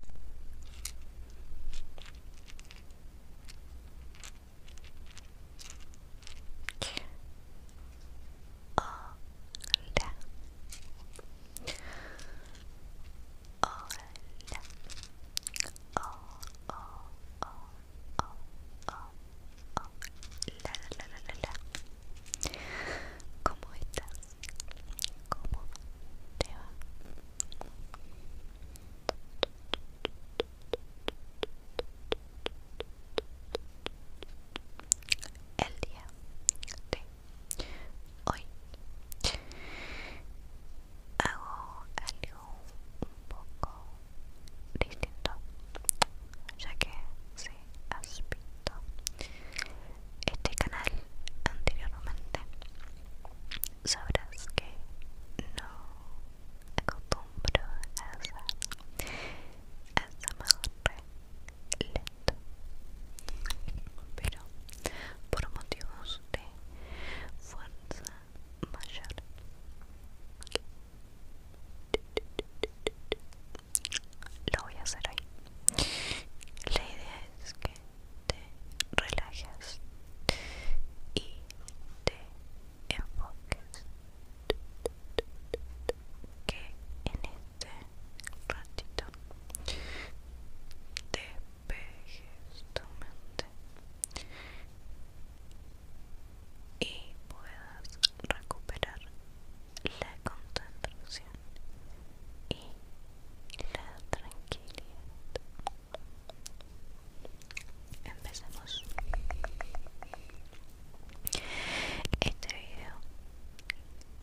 Hola. Hola. Oh, oh, oh, oh, oh, oh. La, la, la, la, la. ¿Cómo estás? ¿Cómo te va? El día de hoy hago algo un poco distinto, ya que se has este canal anteriormente sabrás que no acostumbro a hacer ASMR lento pero por motivos de fuerza mayor lo voy a hacer hoy la idea es que te relajes y te enfoques que en este ratito despejes tu mente y puedas recuperar la concentración y la tranquilidad. Empecemos. Este video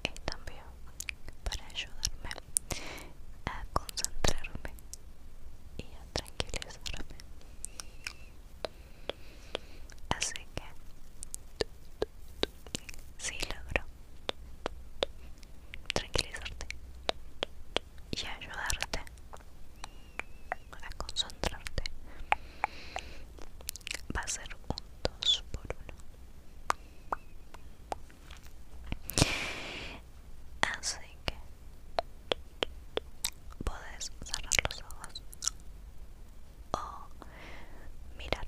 es también para ayudarme a concentrarme y a tranquilizarme. Así que Sí, logro tranquilizarte y ayudarte a concentrarte. Va a ser un dos por uno Así que puedes cerrar los ojos o mirar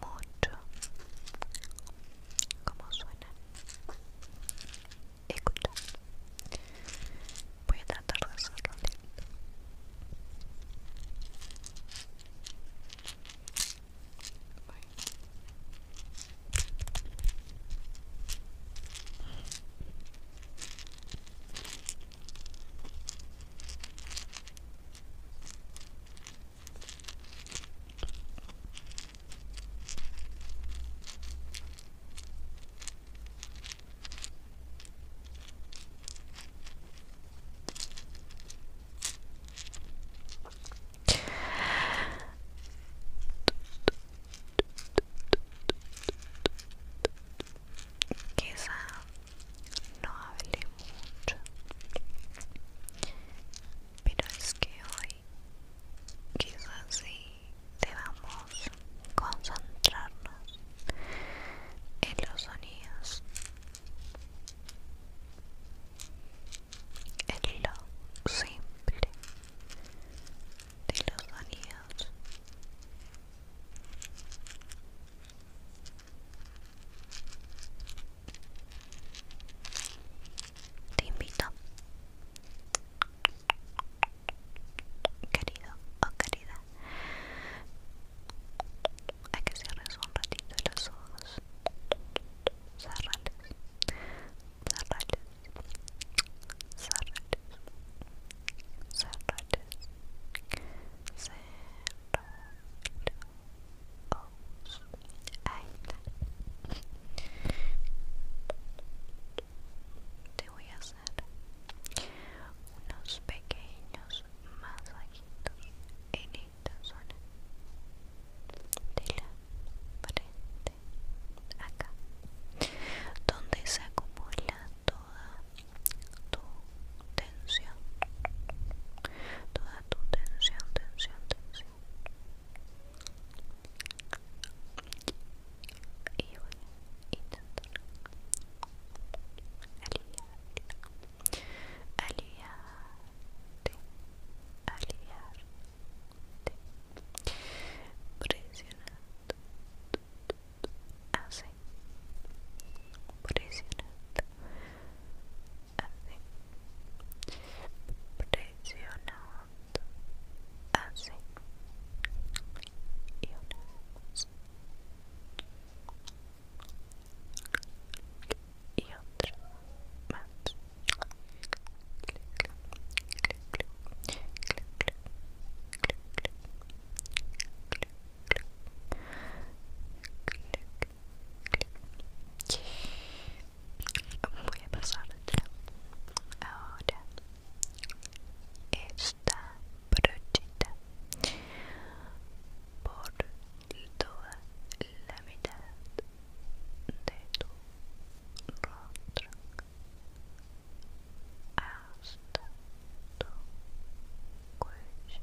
mucho como suena escucha voy a tratar de hacerlo Quizá no hable mucho pero es que hoy quizás sí debamos concentrarnos en los sonidos en lo simple de los sonidos te invito, querido o querida, hay que cierres un ratito los ojos. Cerrales, cerrales, cerrales, cerrales, cerrales, ahí está te voy a hacer unos pequeños masajitos en esta zona de la frente acá donde se acumula toda tu tensión toda tu tensión tensión tensión y voy a intentar aliviarte aliviarte aliviarte presionando así presionando así presiona así y una y otra más Voy a pasar Ahora, esta brochita por toda la mitad de tu rostro hasta tu cuello.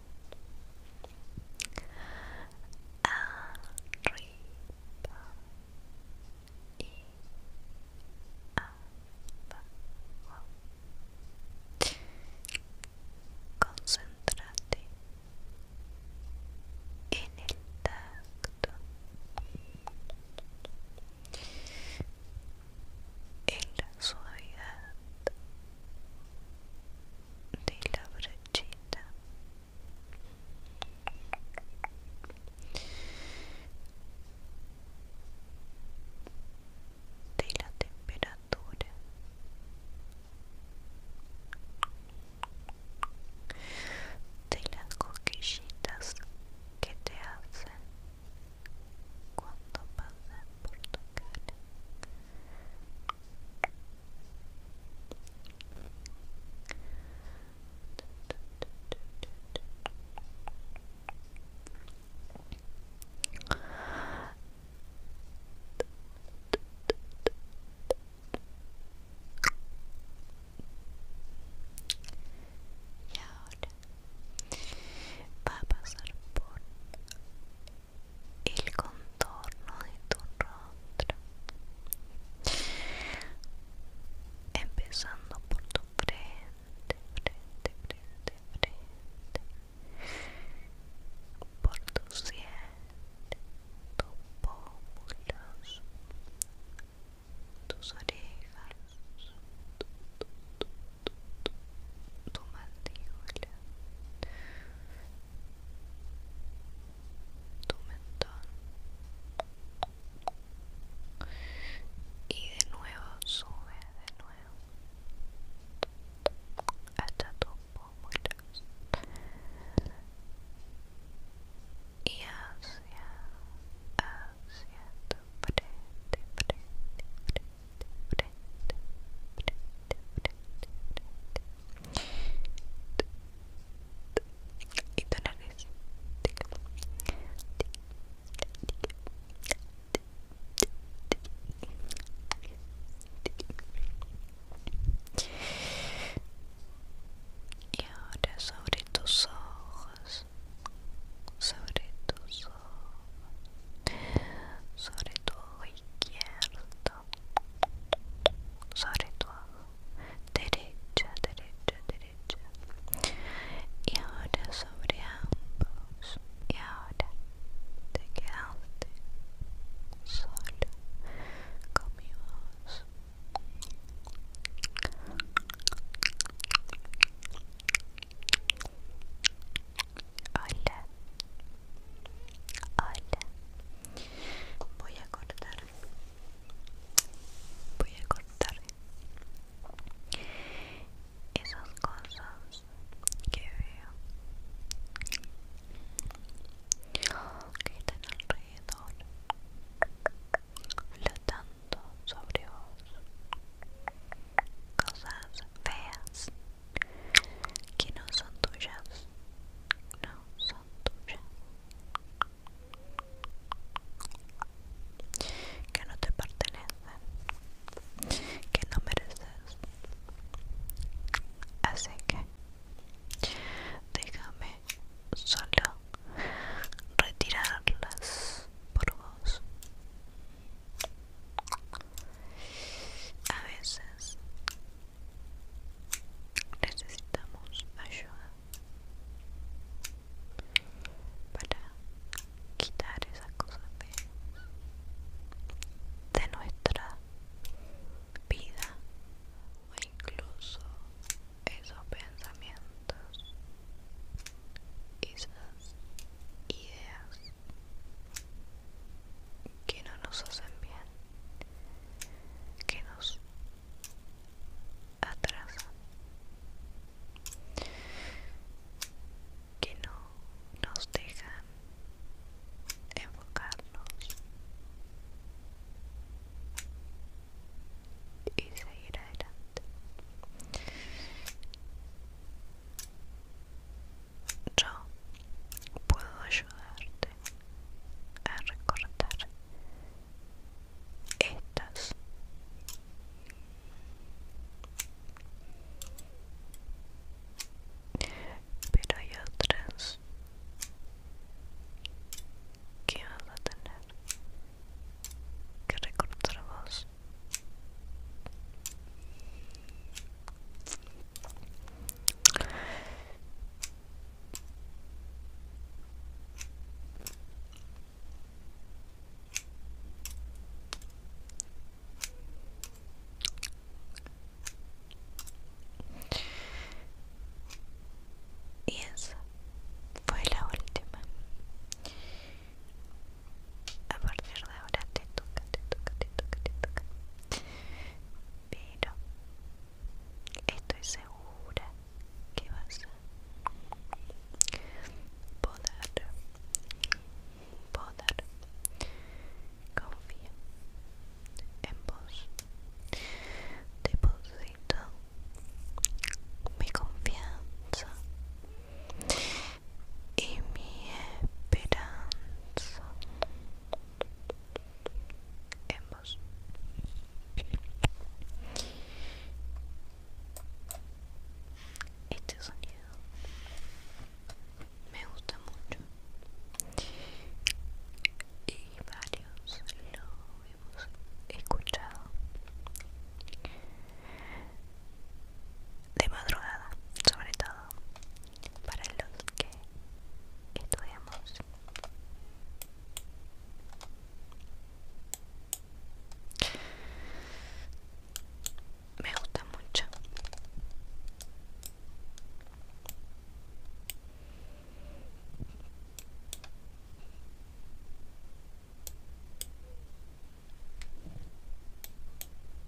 arriba y Concéntrate en el tacto, en la suavidad de la brechita, de la temperatura de las coquillitas que te hacen cuando pasas por tu cara. Y ahora va a pasar por el contorno de tu rostro empezando por tu frente frente frente frente por tu tus pómulos tus orejas tu mandíbula tu mentón y de nuevo sube de nuevo hasta tus pómulos y hacia hacia tu frente y y ahora sobre tus ojos sobre tus ojos sobre tu ojo izquierdo sobre ojo derecha derecha derecha y ahora sobre ambos y ahora te quedaste solo con mi voz Hola. Hola. Voy a cortar. Voy a cortar esas cosas que veo que están alrededor flotando sobre vos cosas feas que no son tuyas, no son tuyas, que no te pertenecen, que no mereces. Así que déjame solo retirarlas por vos. A veces necesitamos ayuda para quitar esas cosas de, de nuestra vida o incluso esos pensamientos esas ideas que no nos hacen bien, que nos atrasan, que no nos dejan enfocarnos y seguir adelante yo puedo ayudarte a recortar estas. Pero hay otras que vas a tener que recortar vos. Y esa fue la última. A partir Ahora te toca, te toca, te toca, te toca. Pero estoy segura que vas a poder, poder. Confía en vos. Deposito mi confianza y mi esperanza en vos. Este sonido me gusta mucho y varios lo hemos escuchado de madrugada sobre todo para los que estudiamos me gusta mucho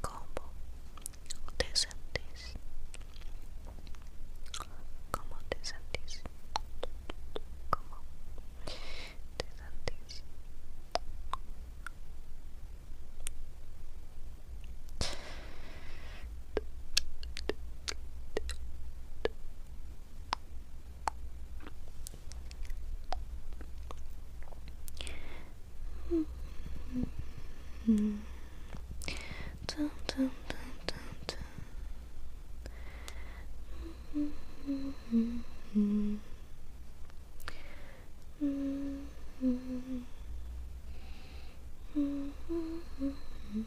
¿Cómo te sentís? ¿Cómo te sentís? ¿Cómo te sentís? Mm -hmm. dun, dun, dun, dun, -hmm. -hmm. -hmm.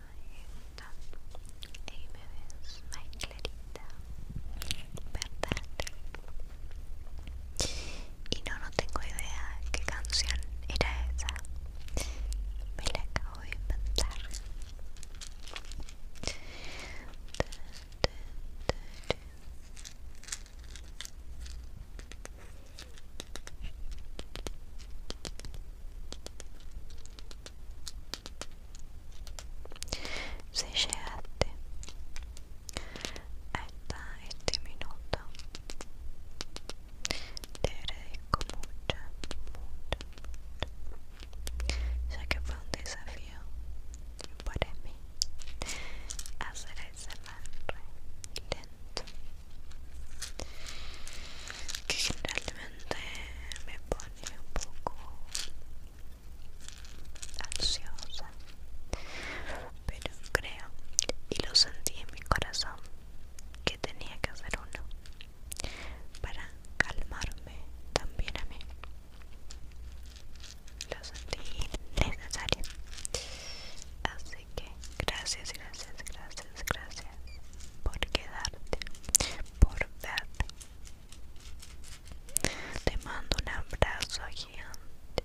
me ves my Clarita, ¿verdad? Y no, no tengo idea qué canción era esa. Me la acabo de inventar. Si llegaste hasta este minuto, te agradezco mucho, mucho, ya que fue un desafío para mí hacer ese lento que generalmente me pone un poco ansiosa pero creo y lo sentí en mi corazón que tenía que hacer uno para calmarme también a mí lo sentí necesario así Así que gracias, gracias, gracias, gracias por quedarte, por verte. Te mando un abrazo gigante,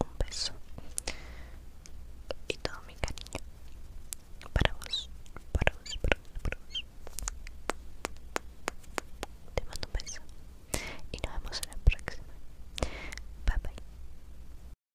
un beso y todo mi cariño para vos, para vos, para vos, para vos. Te mando un beso y nos vemos en la próxima. Bye bye.